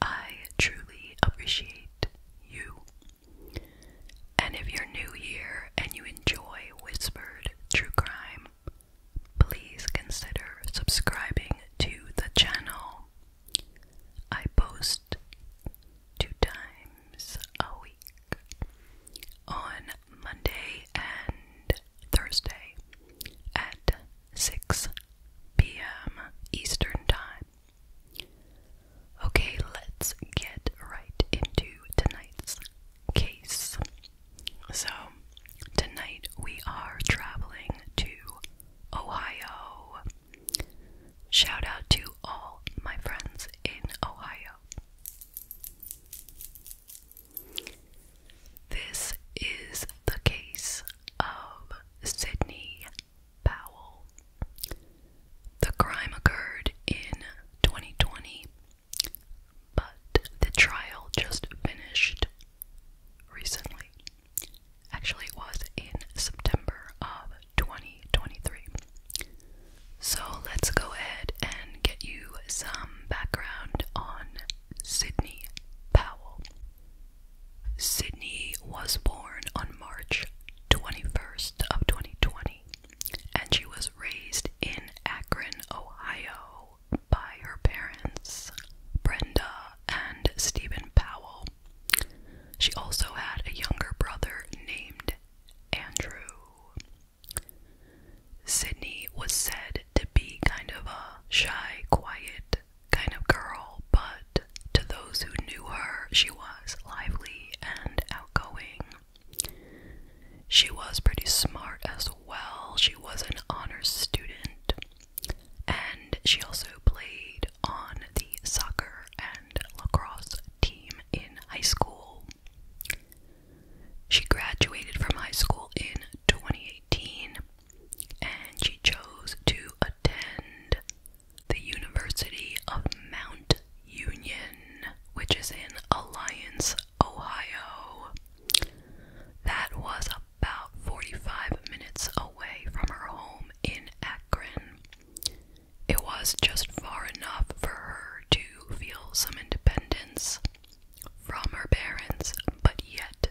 I truly appreciate you. And if you're new here and you enjoy Whispered True Crime, please consider subscribing to the channel. I post two times a week on Monday and Thursday at 6 p.m. Eastern Time. Okay, let's get right into tonight's case. So, tonight we are traveling to Ohio. Shout out to all my friends in Ohio. This is the case of Sydney Powell. The crime occurred in 2020, but the trial just finished recently. Actually, it was in September of 2023. So let's go ahead and get you some background on Sydney Powell. Sydney was born on March 21st of 2020 and she was raised in Akron, Ohio by her parents, Brenda and Stephen Powell. She also had a younger brother named Andrew. Sydney was said to be kind of a shy, quiet kind of girl, but to those who knew her, she was lively and outgoing. She was pretty smart as well. She was an honors student, and she also played on the soccer and lacrosse team in high school. She graduated from high school in 2018 and she chose to attend the University of Mount Union, which is in Alliance, Ohio. That was about 45 minutes away from her home in Akron. It was just far enough for her to feel some independence from her parents, but yet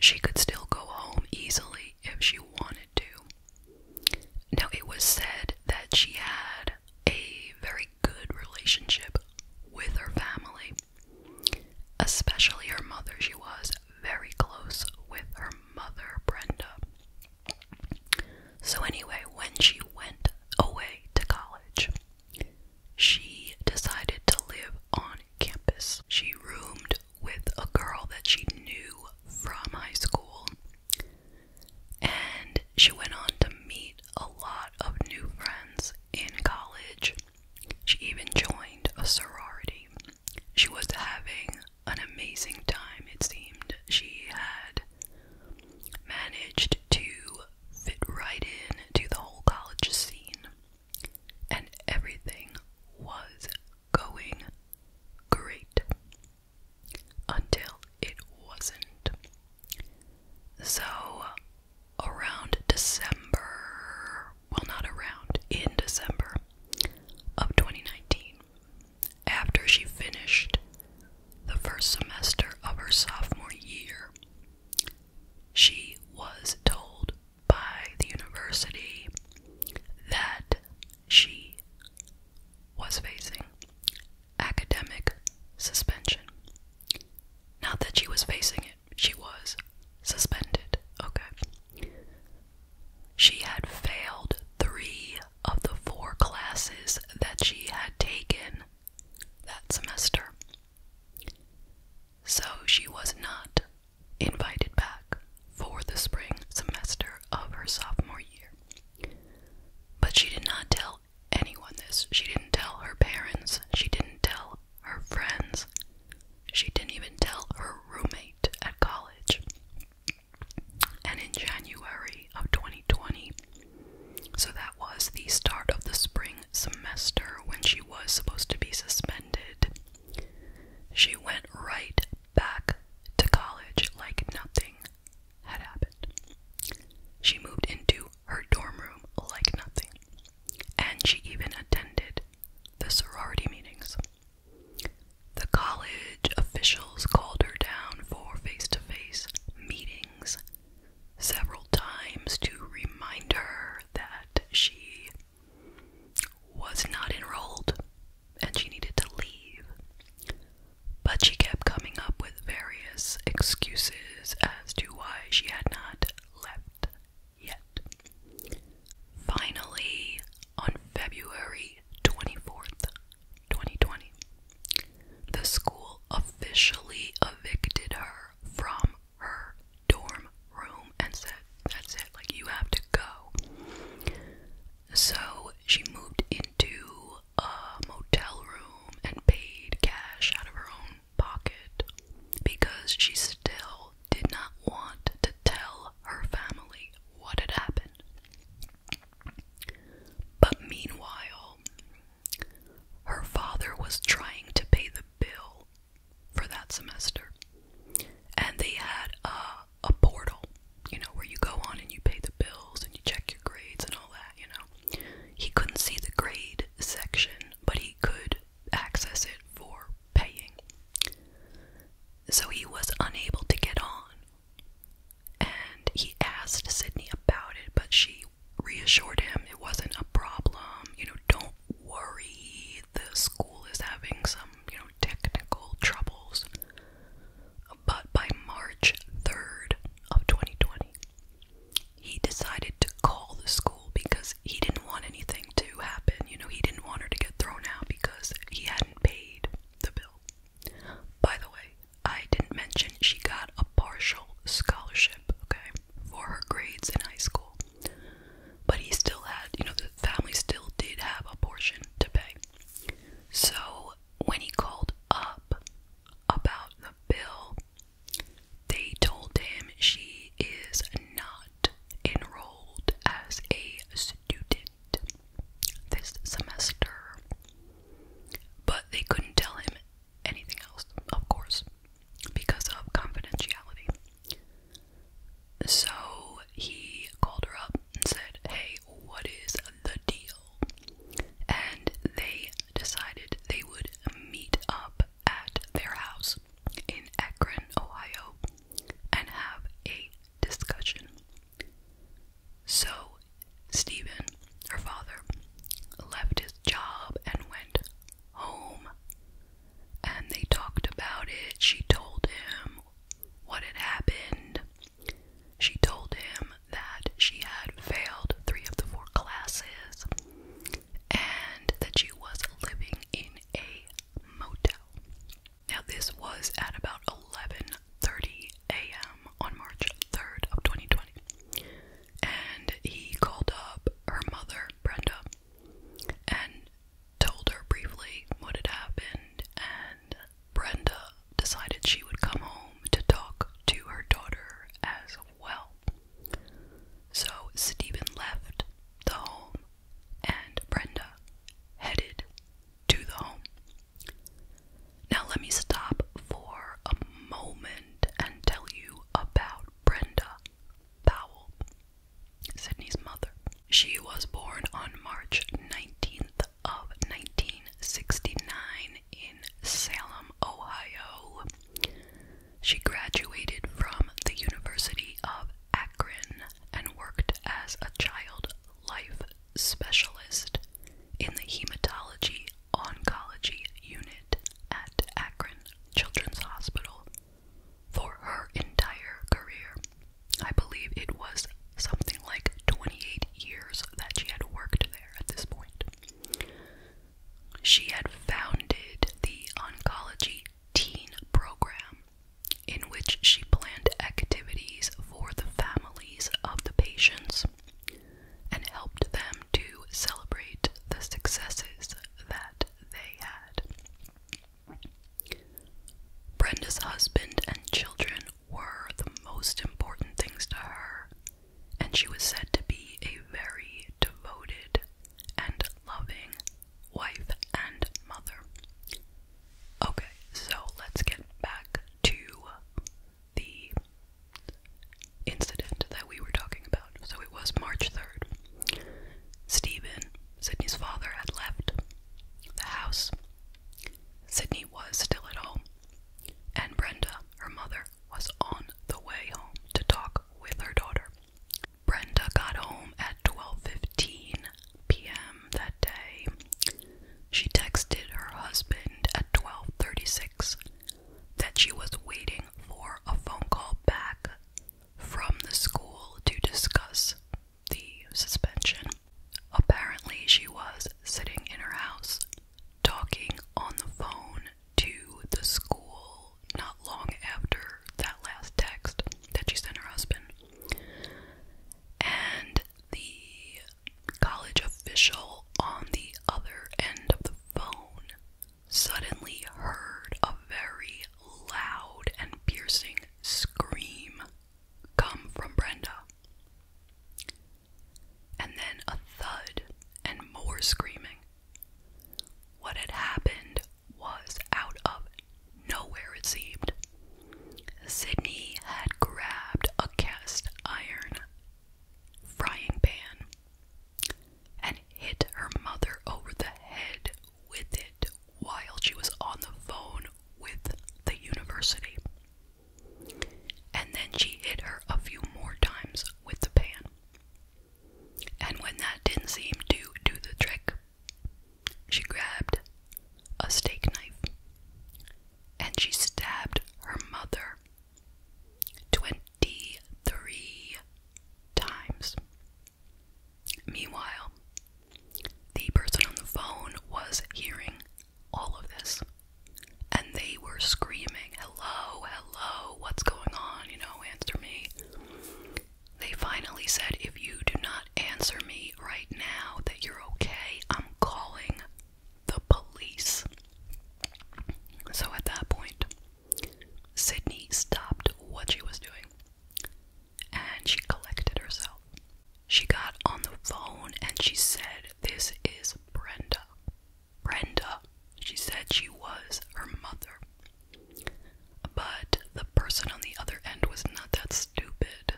she could still go home easily if she wanted to. Now, it was said that she had a very good relationship with her family, especially her mother. She was very close with her mother, Brenda. So, anyway, when she went away to college, she decided to live on campus. She roomed with a girl that she knew from high school. And she went on to meet a lot of new friends in college. She even joined a sorority. She was having an amazing time, it seemed. She had managed to fit right in to the whole college scene and everything was going great until it wasn't. So, around December, well, not around, in December of 2019, after she finished the first semester of her sophomore year, she was told by the university that she was facing academic suspension. Not that she was facing it, she was suspended. Okay. She had failed three of the four classes that she had taken that semester. So she was not invited back for the spring semester of her sophomore year. But she did not tell anyone this. She didn't tell her parents. She didn't tell her friends. She didn't even tell her roommate at college. And in January of 2020, so that was the start of the spring semester when she was supposed to be suspended she went right back to college like nothing had happened. She moved into her dorm room like nothing, and she even attended the sorority meetings. The college officials called her down for face to face meetings several times to remind her that she was not enrolled and she needed to leave. But she kept coming up with various excuses as to why she had not left yet. Finally, on February 24th, 2020, the school officially evicted her from her dorm room and said, That's it, like, you have to go. So she moved into a motel room and paid cash out of her own pocket because she still did not want to tell her family what had happened. But meanwhile, her father was trying to pay the bill for that semester. And they had a, a portal, you know, where you go on and you pay the bills and you check your grades and all that, you know. He couldn't see the grade section, but he could access it for paying. So he was unable to get on. And he asked Sydney about it, but she reassured him it wasn't a problem. You know, don't worry the school is having some, you know, technical troubles. But by March 3rd of 2020, he decided to call the school because he didn't want anything to happen. You know, he didn't want her to get thrown out because he hadn't paid the bill. By the way, I didn't mention she got a partial scholarship, okay? for her grades in high school. But he still had, you know, the family still did have a portion to pay. So when he called up about the bill, they told him she is not enrolled as a student this semester. But they couldn't tell him anything else, of course because of confidentiality. So he called her up and said, Hey, what is the deal? And they decided they would meet up at their house in Akron, Ohio, and have a discussion. So Stephen, her father, left his job and went home and they talked about it. She told him what had happened. She told him that she had failed three of the four classes and that she was living in a motel. Now this was at about 11:30 a.m. on March 3rd of 2020. And he called up her mother, Brenda, and told her briefly what had happened. And Brenda decided she would come home to talk to her daughter as well. So Stephen left the home and Brenda headed to the home. Now, let me stop for a moment and tell you about Brenda Powell, Sydney's mother. She was born on March 19th of 1969 in Salem, Ohio. She graduated from the University of Akron and worked as a child life specialist in the hematology oncology unit at Akron Children's Hospital for her entire career. I believe it was something like 28 years that she had worked there at this point. She had founded the Oncology Teen Program, in which she planned activities for the families of the patients and helped them to celebrate the successes that they had. Brenda's husband and children were the most important things to her, and she was said to be a very devoted and loving wife and mother. Okay, so let's get back to the incident that we were talking about so it was March 3rd. Stephen, Sydney's father, had left the house. Sydney was still at home, and Brenda, her mother, was on the way home to talk with her daughter. Brenda got home at 12:15 p.m. that day. She texted her husband at 12:36 that she was waiting for a phone call back from the school to discuss the suspension. Apparently, she was sitting in her house talking on the phone to the school not long after that last text that she sent her husband. And the college official on the other end of the phone suddenly heard a very loud and piercing scream come from Brenda. And then a thud and more screaming. What had happened was out of nowhere, it seemed. Sydney had grabbed a cast iron frying pan and hit her mother over the head with it while she was on the phone with the university. And then she hit her a few more times with the pan. And when that didn't seem to do the trick, she grabbed a steak knife and she stabbed her mother 20 d three times. Meanwhile, the person on the phone was hearing all of this. And they were screaming, Hello, hello, what's going on? You know, answer me. They finally said, If you do not answer me right now that you're okay, I'm calling the police. So at that point, Sydney stopped what she was doing and she collected herself. She got on the phone and she said, This is Brenda. Brenda, she said she was her mother. But the person on the other end was not that stupid,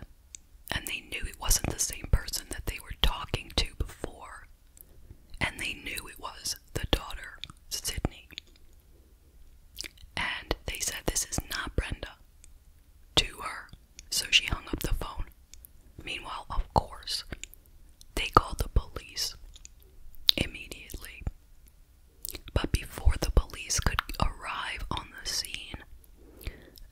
and they knew it wasn't the same person that they were talking to before and they knew it was the daughter, Sydney. And they said, This is not Brenda to her, so she hung up the phone. Meanwhile, of course, they called the police immediately. But before the police could arrive on the scene,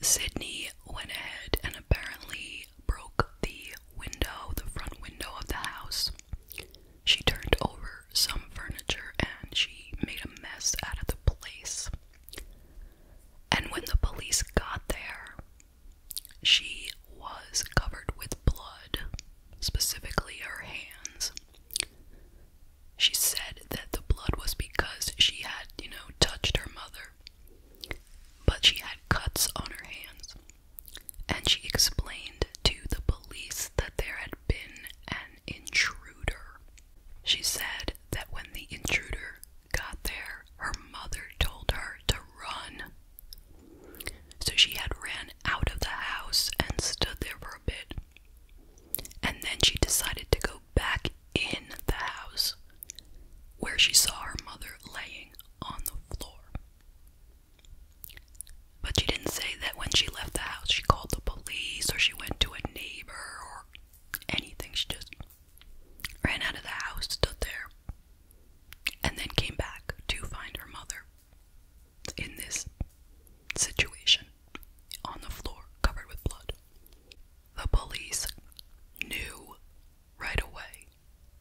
Sydney went ahead and apparently broke the window, the front window of the house, she turned over some furniture and she made a mess out of the place. And when the police got there, she was covered with blood, specifically her hands. She said that the blood was because she had, you know, touched her mother, but she had cuts on her hands and she explained to the police that there had been an intruder. She said that when the intruder got there, her mother told her to run. So she had ran out of the house and stood there for a bit. And then she decided to go back in the house where she saw her mother laying on the floor. But she didn't say that when she left the house, she called the police or she went to a neighbor or anything. She just ran out of the house, stood there, and then came back to find her mother in this situation on the floor, covered with blood. The police knew right away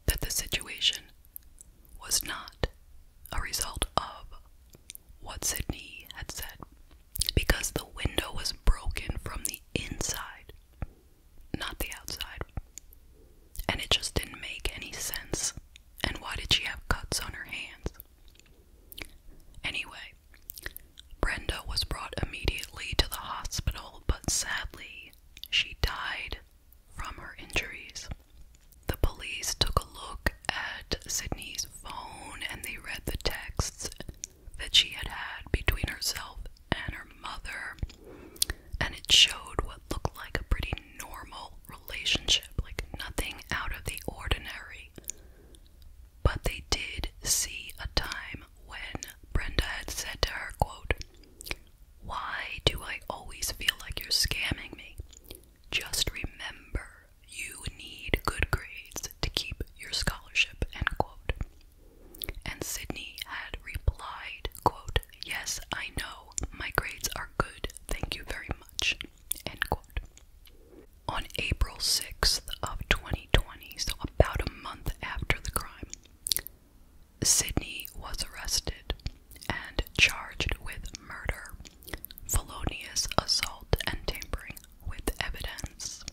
that the situation was not a result of what Sydney had said because the window was broken from the inside, not the outside. And it just didn't make any sense. And why did she have cuts on her hands? Anyway, Brenda was brought immediately to the hospital, but sadly, she died from her injuries. The police took a look at Sydney's phone and they read the texts that she had had between herself and her mother, and it showed what looked like a pretty normal relationship, like nothing out of the ordinary. But they did see a time when Brenda had said to her, quote, why do I always feel like you're scamming me? Just remember, you need good grades to keep your scholarship, end quote. And Sydney had replied, quote, Yes, I know, my grades are good, thank you very much, end quote. On April 6th of 2020, so about a month after the crime, Sidney was arrested and charged with murder, felonious assault, and tampering with evidence.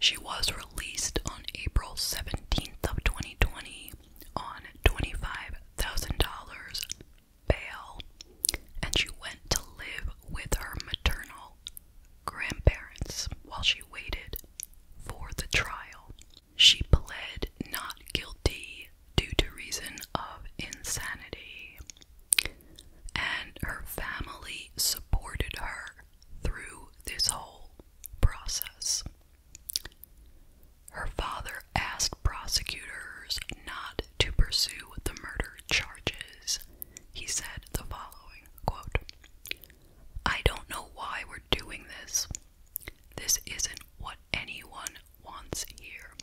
She was released on April 17th of 2020 on $25,000 bail, and she went to live with her maternal grandparents while she waited for the trial. She pled not guilty due to reason of insanity, and her family supported her through this whole process. Her father asked prosecutors not to pursue the murder charges. He said the following quote, I don't know why we're doing this. This isn't what anyone wants here.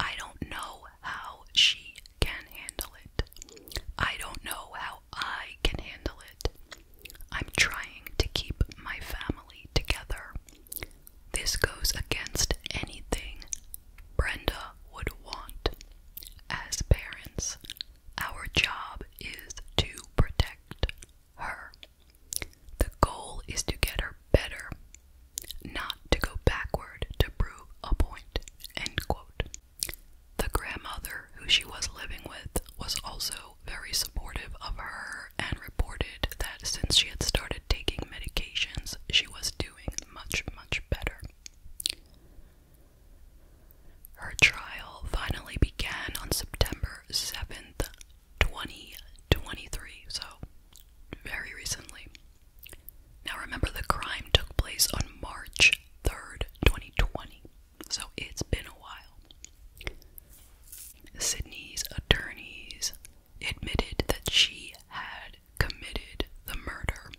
I don't know how she can handle it. I don't know how I can handle it. I'm trying to keep my family together. This goes against anything Brenda would want. As parents, our job is to protect her. The goal is to get her better, not to go backward to prove a point. The grandmother who she was living with was also very supportive of her and reported that since she had started taking medications, she was doing much, much better. Her trial finally began on September 7th, 2023, so very recently. Now remember, the crime took place on March 3rd, 2020, so it's been a while. Sydney's attorneys admitted that she had committed the murder,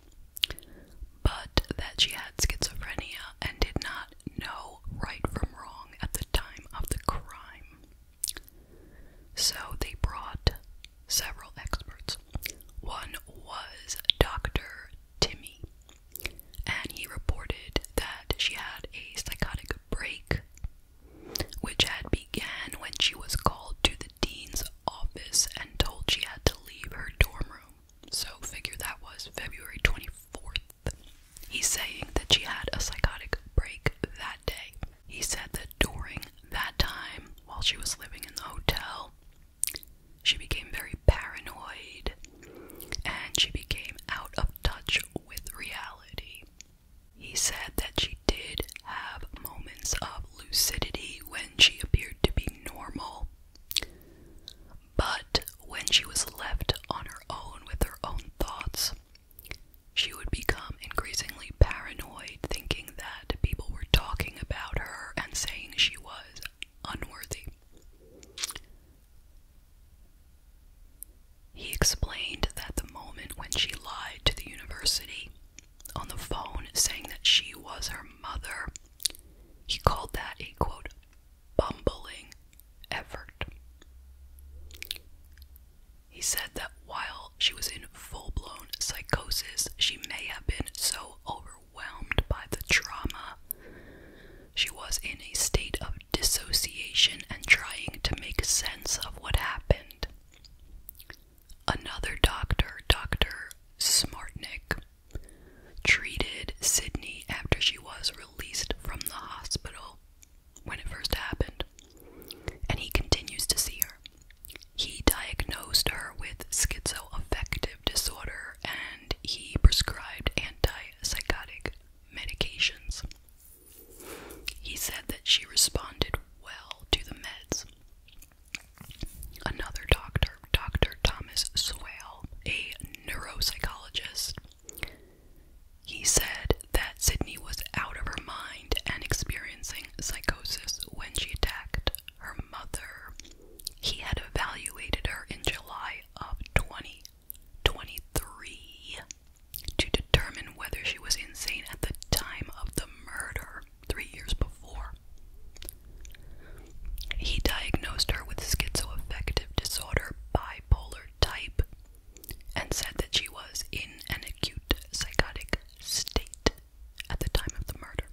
but that she had schizophrenia and did not know right from wrong at the time of the crime. So they brought several experts. One was Dr. Timmy, and he reported that she had a psychotic break, which had began when she was called to the dean's office and told she had to leave her dorm room. So figure that was February 24th He's saying that she had a psychotic break that day. He said that during that time, while she was living in the hotel, she became very paranoid and she became out of touch with reality. He said that she did have moments of lucidity when she appeared to be normal, but when she was left on her own with her own thoughts, she would become increasingly paranoid, thinking that people were talking about her and saying she was unworthy. He explained that the moment when she lied to the university on the phone saying that she was her mother, he called that a quote bumbling effort. He said that while she was in full blown psychosis, she may have been so overwhelmed by the trauma. She was in a state of dissociation and trying to make sense of what happened. Another doctor, Dr. Smartnick, treated Sydney after she was released from the hospital when it first happened, and he continues to see her. He diagnosed her with schizoaffective disorder and he prescribed antipsychotic medications. He said that she responded well to the meds. Another doctor, Dr. Thomas Swale, a neuropsychologist, he said that Sydney was out of her mind and experiencing psychosis when she attacked her mother. He had evaluated her in July of 2023 to determine whether she was insane at the time of the murder, three years before. He diagnosed her with schizoaffective disorder, bipolar type and said that she was in an acute psychotic state at the time of the murder.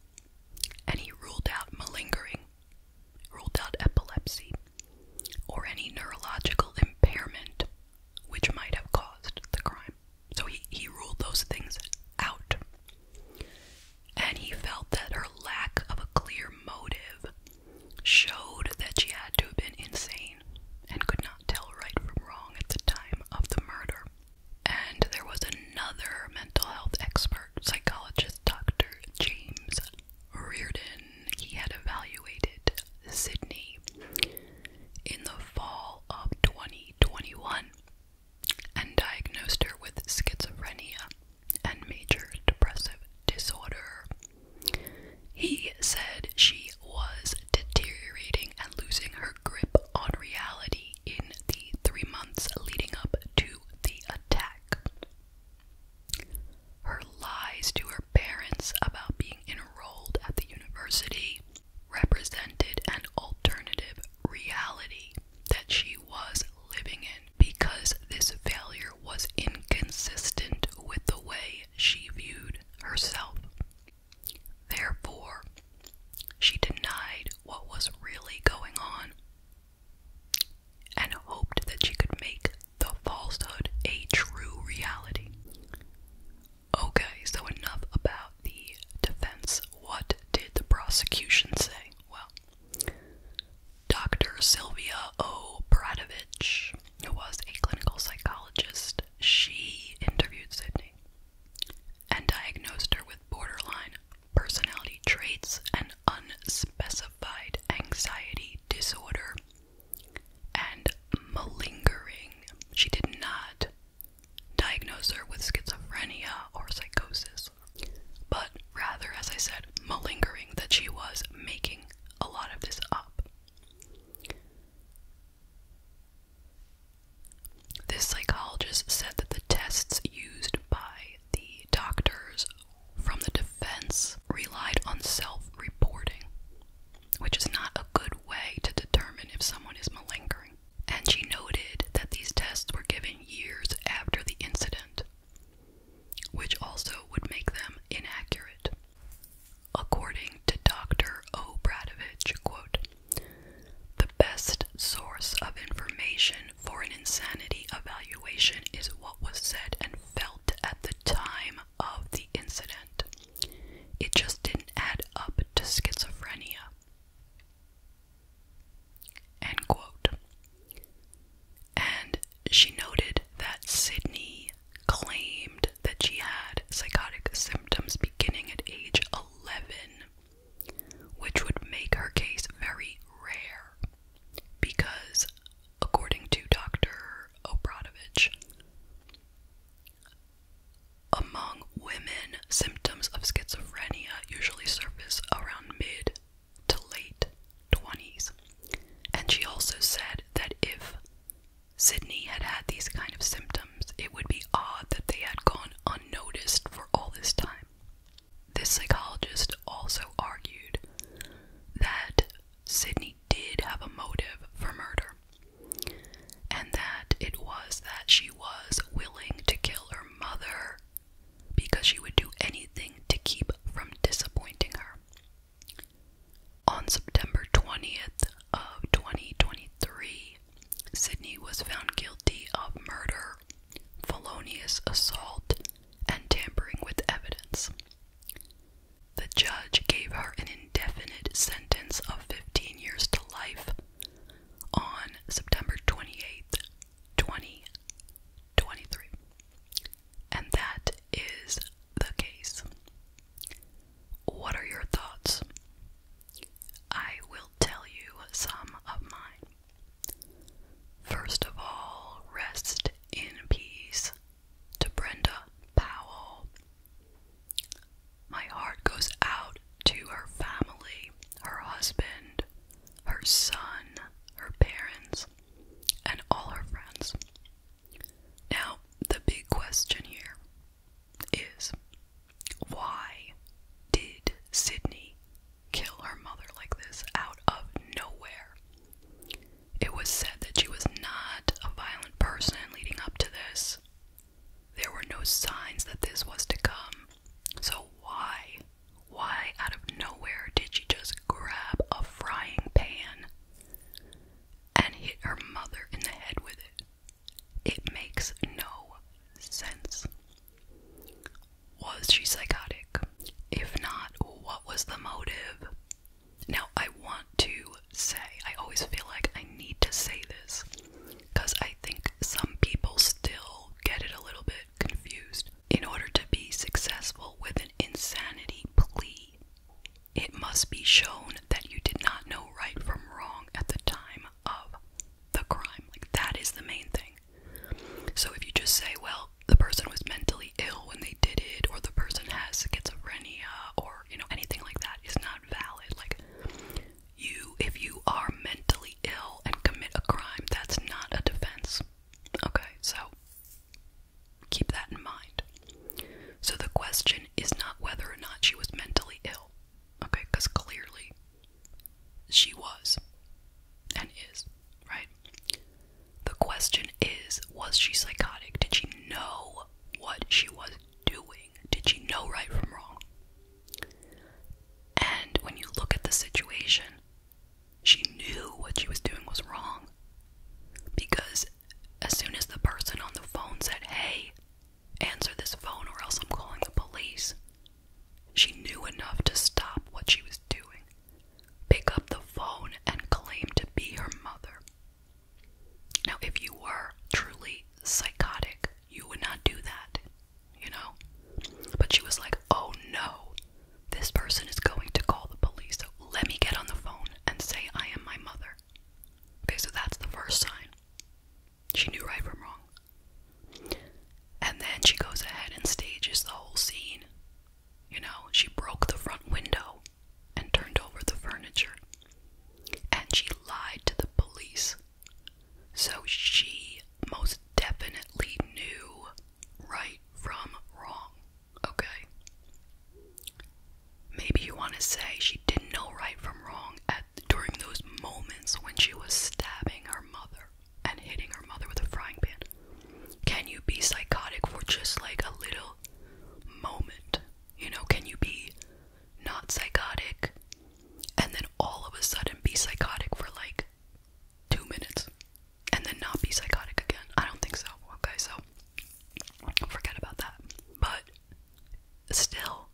And he ruled out malingering, ruled out epilepsy, or any neurological impairment which might have caused the crime. So he, he ruled those things out. And he felt that her lack of a clear motive showed that she had to have been insane and could not tell right from wrong at the time of the murder. And there was another mental health expert, psychologist Dr. James Reardon. He had evaluated Sydney in the fall of 2021 and diagnosed her with schizophrenia and major depressive disorder. He said she was deteriorating and losing her grip on reality in the three months leading up to the attack. Her lies to her parents about being enrolled at the university represented an alternative reality that she was living in because this failure was inconsistent with the way she viewed herself. Therefore, she denied what was really going on and hoped that she could make the falsehood a true reality. Okay, so enough about the defense. What did the prosecution say? Well, Dr. Sylvia O. Bradovich, who was a clinical psychologist, she interviewed Sydney and diagnosed her with borderline personality traits and unspecified anxiety disorder and malingering. She did not diagnose her with schizophrenia or psychosis, but rather, as I said, malingering that she was making a lot of this up. This psychologist said that the tests used by the doctors from the defense relied on self reporting, which is not a good way to determine if someone is malingering. And she noted that these tests were given years after the incident, which also would make them inaccurate. According to Dr. Obradovich, quote, the best source of information for an insanity evaluation is what was said and felt at the time of the incident. It just didn't add up to schizophrenia. End quote and she noted that Sydney claimed that she had psychotic symptoms beginning at age 11, which would make her case very rare because, according to Dr. Obradovich, among women, symptoms of schizophrenia usually surface around mid to late 20s. And she also said that if Sydney had had these kind of symptoms, it would be odd that they had gone unnoticed for all this time. This psychologist also argued that Sydney did have a motive for murder and that it was that she was willing to kill her mother because she would do anything to keep from disappointing her. On September 20th of 2023, Sydney was found guilty of murder, felonious assault, and tampering with evidence. The judge gave her an indefinite sentence of 15 years to life. On September 28th, 2023. And that is the case. What are your thoughts? I will tell you some of mine. First of all, rest in peace to Brenda Powell. My heart goes out to her family, her husband, her son, her parents, and all her friends. Now, the big question here is why did Sydney kill her mother like this out of nowhere? It was said that she was not a violent person leading up to this. There were no signs that this was to come. So, why why, out of nowhere, did she just grab a frying pan and hit her mother in the head with it? It makes no sense. Was she psychotic? If not, what was the motive? Now, I want to say, I always feel like I need to say this because I think some people still get it a little bit confused. In order to be successful with an insanity plea, it must be shown that you did not know right from wrong at the time of the crime. Like, that is the main thing. So, if you just say, well, the person was mentally ill when they did it, or the person has schizophrenia, or, you know, anything like that is not valid. Like, you, if you are mentally ill and commit a crime, that's not a defense. Okay, so keep that in mind. So the question is not whether or not she was mentally ill, okay, because clearly she was and is, right? The question is was she psychotic? Did she know what she was doing? Did she know right from wrong? And when you look at the situation, she knew what she was doing was wrong because as soon as the person on the phone said, Hey, answer this phone or else I'm calling the police, she knew enough to stop what she was doing, pick up the phone, and claim to be her mother. Now, if you were truly psychotic, you would not do that, you know? But she was like, Oh no, this person is going to call the police, so let me get on the phone and say I am my mother. Okay, so that's the first sign. She knew right from wrong. And then she goes ahead and stages the whole scene. You know, she broke the front window and turned over the furniture. And she lied to the police. So she most definitely knew right from wrong, okay? Maybe you want to say she didn't know right from wrong at during those moments when she was stabbing her mother and hitting her mother with a frying pan. Can you be psychotic for just like a little moment? You know, can you be not psychotic and then all of a sudden be psychotic for like two minutes and then not be psychotic again. I don't think so. Okay, so forget about that. But still,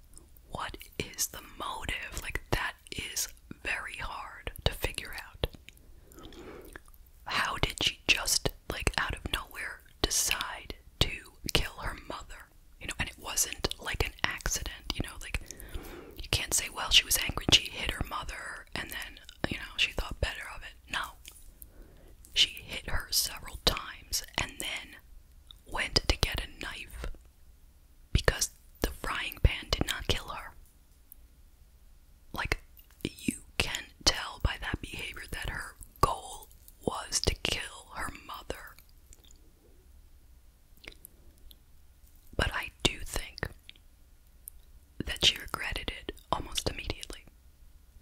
what is the motive? Like, that is very hard to figure out. How did she just, like, out of nowhere decide to kill her mother? You know, and it wasn't like an accident, you know, like, you can't say, well, she was angry, she hit her mother, and then, you know, she thought better of it. No. She hit her several times and then went to get a knife because the frying pan did not kill her. Like, you can tell by that behavior that her goal was to kill her mother. But I do think that she regretted it almost immediately.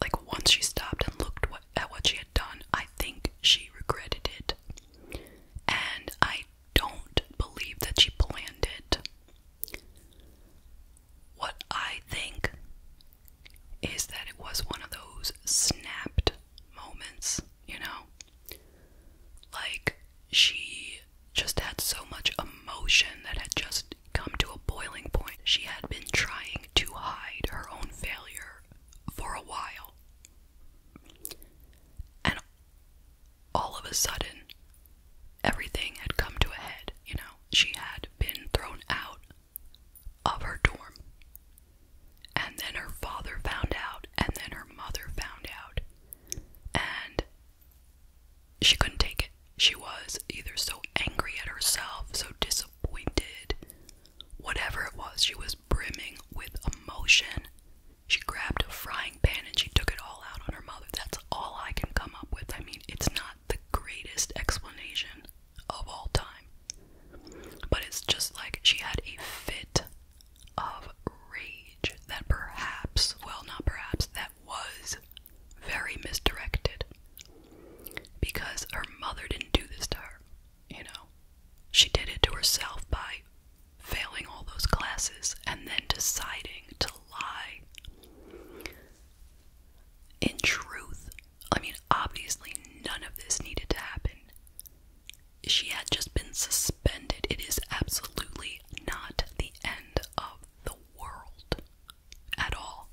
Like, once she stopped and looked at what she had done, I think she regretted it. And I don't believe that she planned it. What I think is that it was one of those snapped moments, you know? Like, she just had so much emotion that had just come to a boiling point. She had been trying to hide her own failure for a while. And all of a sudden, everything had come to a head. You know, she had been thrown out of her dorm. And then her father found out, and then her mother found out. And she couldn't take it. She was either so angry at herself, so disappointed. Whatever it was, she was brimming with emotion. She grabbed a frying pan and she took it all out on her mother. That's all I can come up with. I mean, it's not the greatest explanation of all time. But it's just like she had a fit of rage that perhaps, well, not perhaps, that was very misdirected. Because her mother didn't do this to her, you know. She did it to herself by failing all those classes and then deciding to lie. In truth, I mean, obviously, none of this needed to happen. She had just been suspended. It is absolutely not the end of the world at all.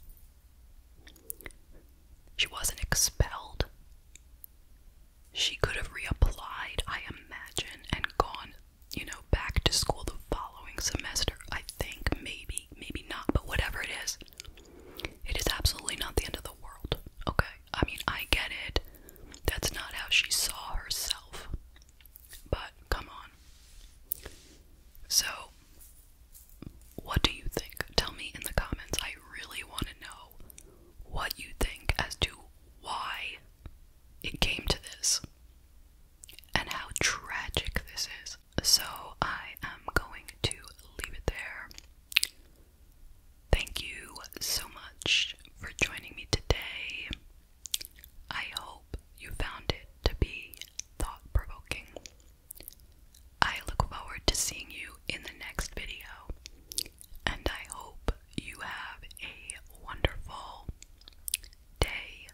She wasn't expelled. She could have re-applied, I imagine, and gone, you know, back to school the following semester. I think, maybe, maybe not, but whatever it is, it is absolutely not the end of the world. Okay? I mean, I get it. That's not how she saw herself. But come on. So, what do you think? Tell me in the comments. I really want to know what you think as to why it came to this and how tragic this is. So, I am going to leave it there. Thank you so much for joining me today. I hope you found it to be thought provoking. I look forward to seeing you in the next video, and I hope you have a wonderful day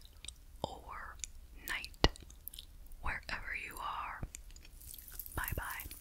or night wherever you are. Bye bye.